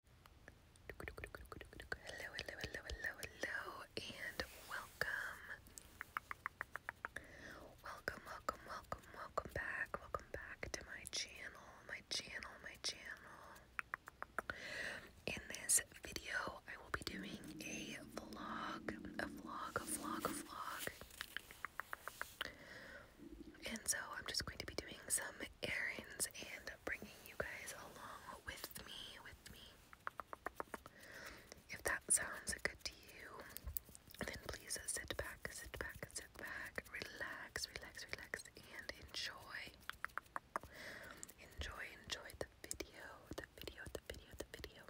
Hello, hello, hello, hello, hello, and welcome. Welcome, welcome, welcome, welcome back. Welcome back to my channel, my channel, my channel. In this video, I will be doing a vlog, a vlog, a vlog, a vlog. And so I'm just going to be doing some errands and bringing you guys along with me, with me. If that sounds good to you, then please sit back, sit back, sit back, relax, relax, relax, and enjoy. Enjoy, enjoy the video, the video, the video, the video.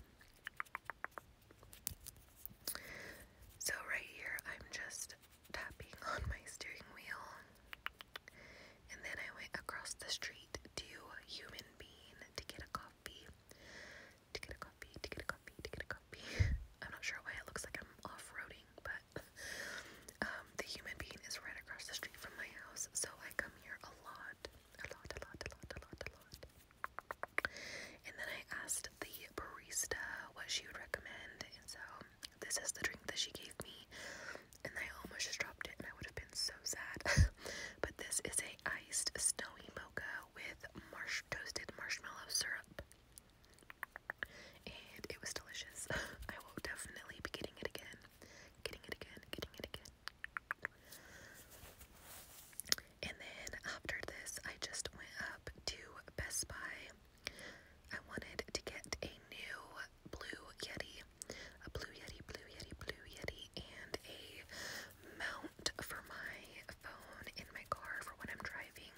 So right here, I'm just tapping on my steering wheel. And then I went across the street to Human Bean to get a coffee. To get a coffee, to get a coffee, to get a coffee. I'm not sure why it looks like I'm off roading, but um, the Human being is right across the street from my house, so I come here a lot. A lot, a lot, a lot, a lot, a lot. And then I asked the barista what she would recommend, and so this is the drink that she gave me, and I almost just dropped it, and I would have been so sad. but this is a iced snowy mocha with marsh toasted marshmallow syrup, and it was delicious. I will definitely be getting it again, getting it again, getting it again. And then after this, I just went up to Best Buy I wanted to get a new blue Yeti, a blue Yeti, blue Yeti, blue Yeti, and a mount for my phone in my car for when I'm driving.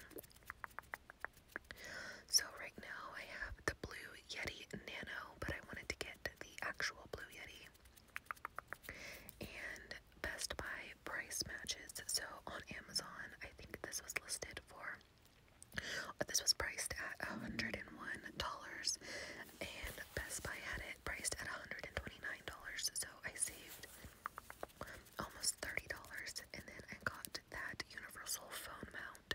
So, right now I have the blue Yeti Nano, but I wanted to get the actual blue Yeti. And Best Buy price matches. So on Amazon, I think this was listed for uh, this was priced at $101 and Best Buy had it priced at $129. So I saved almost $30 and then I got that universal phone mount.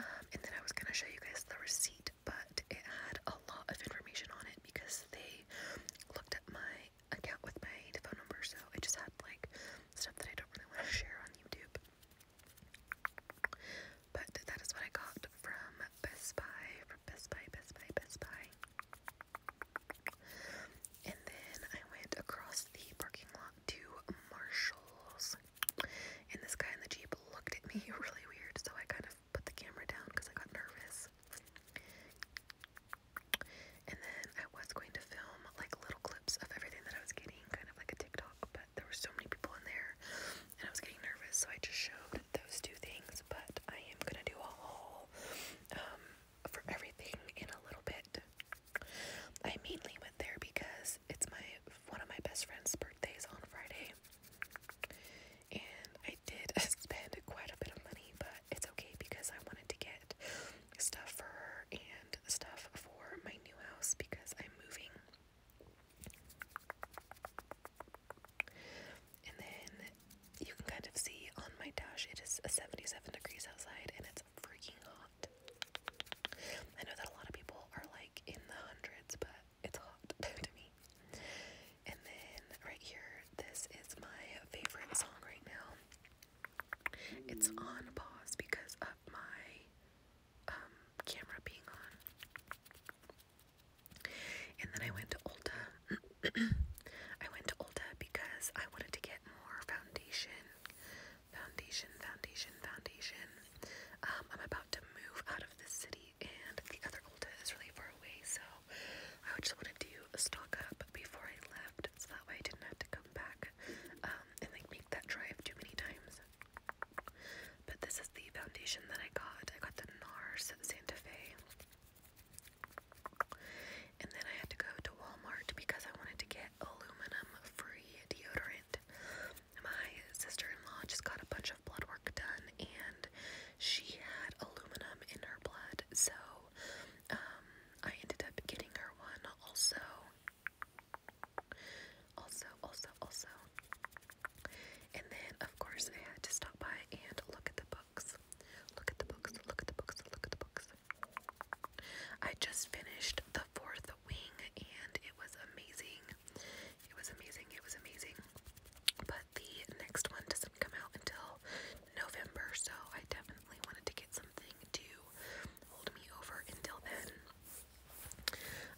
Um, and then I was gonna show you guys the receipt, but it had a lot of information on it because they looked at my account with my phone number, so I just had like stuff that I don't really want to share on YouTube. But that is what I got from Best Buy, from Best Buy, Best Buy, Best Buy. And then I went across the parking lot to Marshall's. And this guy in the Jeep looked at me really weird, so I kind of put the camera down because I got nervous. And then I was going to film like little clips of everything that I was getting, kind of like a TikTok, but there were so many people in there and I was getting nervous, so I just showed those two things. But I am gonna do a haul um, for everything in a little bit. I mainly went there because it's my one of my best friend's birthdays on Friday, and I did spend quite a bit of money, but it's okay because I wanted to get stuff for her and stuff for my new house because I'm moving. And then you can kind of see on my dash, it is 77 degrees outside and it's freaking hot. I know that a lot of people are like in the hundreds, but it's hot to me. And then right here, this is my favorite song right now. It's on pause because of my um, camera being on. And then I went to Olta. I went to Olta because I wanted to get more foundation. Foundation, foundation, foundation. Um, I'm about to move out of the city and the other Ulta is really far away, so I just want to do a stock up before I left, so that way I didn't have to come back um, and like make that drive too many times. But this is the foundation that I got. I got the NARS Santa Fe. And then I had to go to Walmart because I wanted to get aluminum free deodorant my sister-in-law just got a bunch of blood work done and she had aluminum in her blood so um, I ended up getting her one also also also also and then of course I had to stop by and look at the books look at the books look at the books look at the books I just finished the fourth wing and it was amazing it was amazing. It was amazing. But the next one doesn't come out until November, so I definitely wanted to get something to hold me over until then.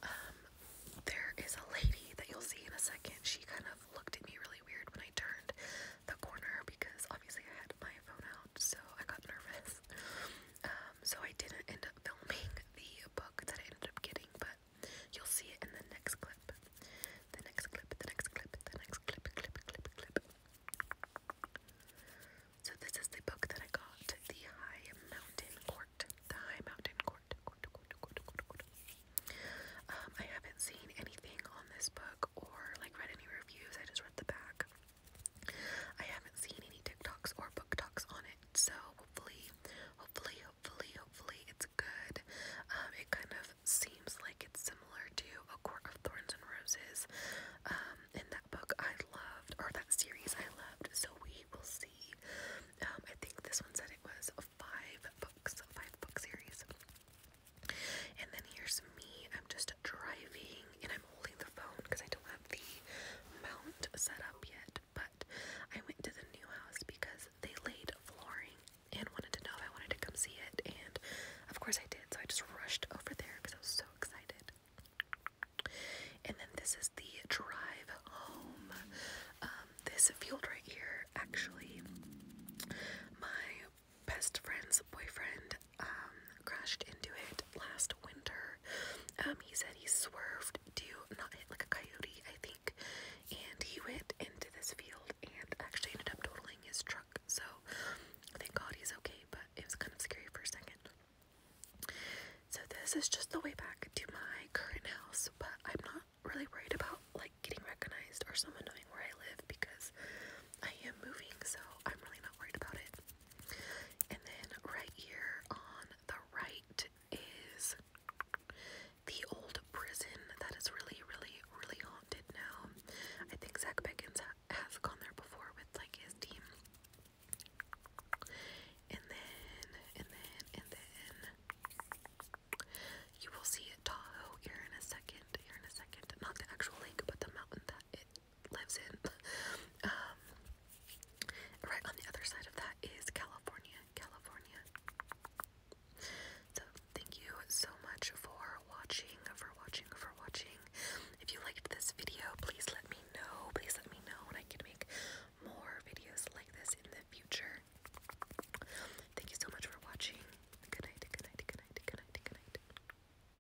Um, there is a lady that you'll see in a second. She kind of looked at me really weird when I turned the corner because obviously I had my phone out, so I got nervous. Um, so I didn't end up filming the book that I ended up getting, but you'll see it in the next clip. The next clip, the next clip, the next clip, clip, clip, clip. So this is the book that I got, The High Mountain Court. The High Mountain Court. Court, court, court, court, court. Um, I haven't seen anything on this book or like read any reviews. I just read the back. I haven't seen any TikToks or book talks on it, so hopefully Hopefully, hopefully, hopefully it's good. Um, it kind of seems like it's similar to A Court of Thorns and Roses. Um, in that book I loved, or that series I loved, so we will see. Um, I think this one said it was five books, five book series. And then here's me. I'm just driving and I'm holding the phone because I don't have the mount set up yet but I went to the new house because they laid flooring and wanted to know if I wanted to come see it. And of course I did, so I just rushed over there because I was so excited. And then this is the drive home. Um, this field right here, actually, my best friend's boyfriend um, crashed into it last winter um, he said he swerved to not hit like a coyote, I think, and he went into this field and actually ended up totaling his truck. So thank God he's okay, but it was kind of scary for a second. So this is just the way back to my current house, but I'm not really worried about like getting recognized or someone knowing where I live because I am moving, so I'm really not worried about it. And then right here on the right is the old prison that is really, really, really haunted now. I think Zach Beckins has gone there before with like his team. And then, and then, and then, you will see Tahoe here in a second. Here in a second, not the actual lake, but the mountain that it lives in. um, right on the other side of that is California, California. So thank you so much for watching, for watching, for watching. If you liked this video, please let me know. Please let me know, and I can make more videos like this in the future. Thank you so much for watching. Good night, good night, good night, good night, good night.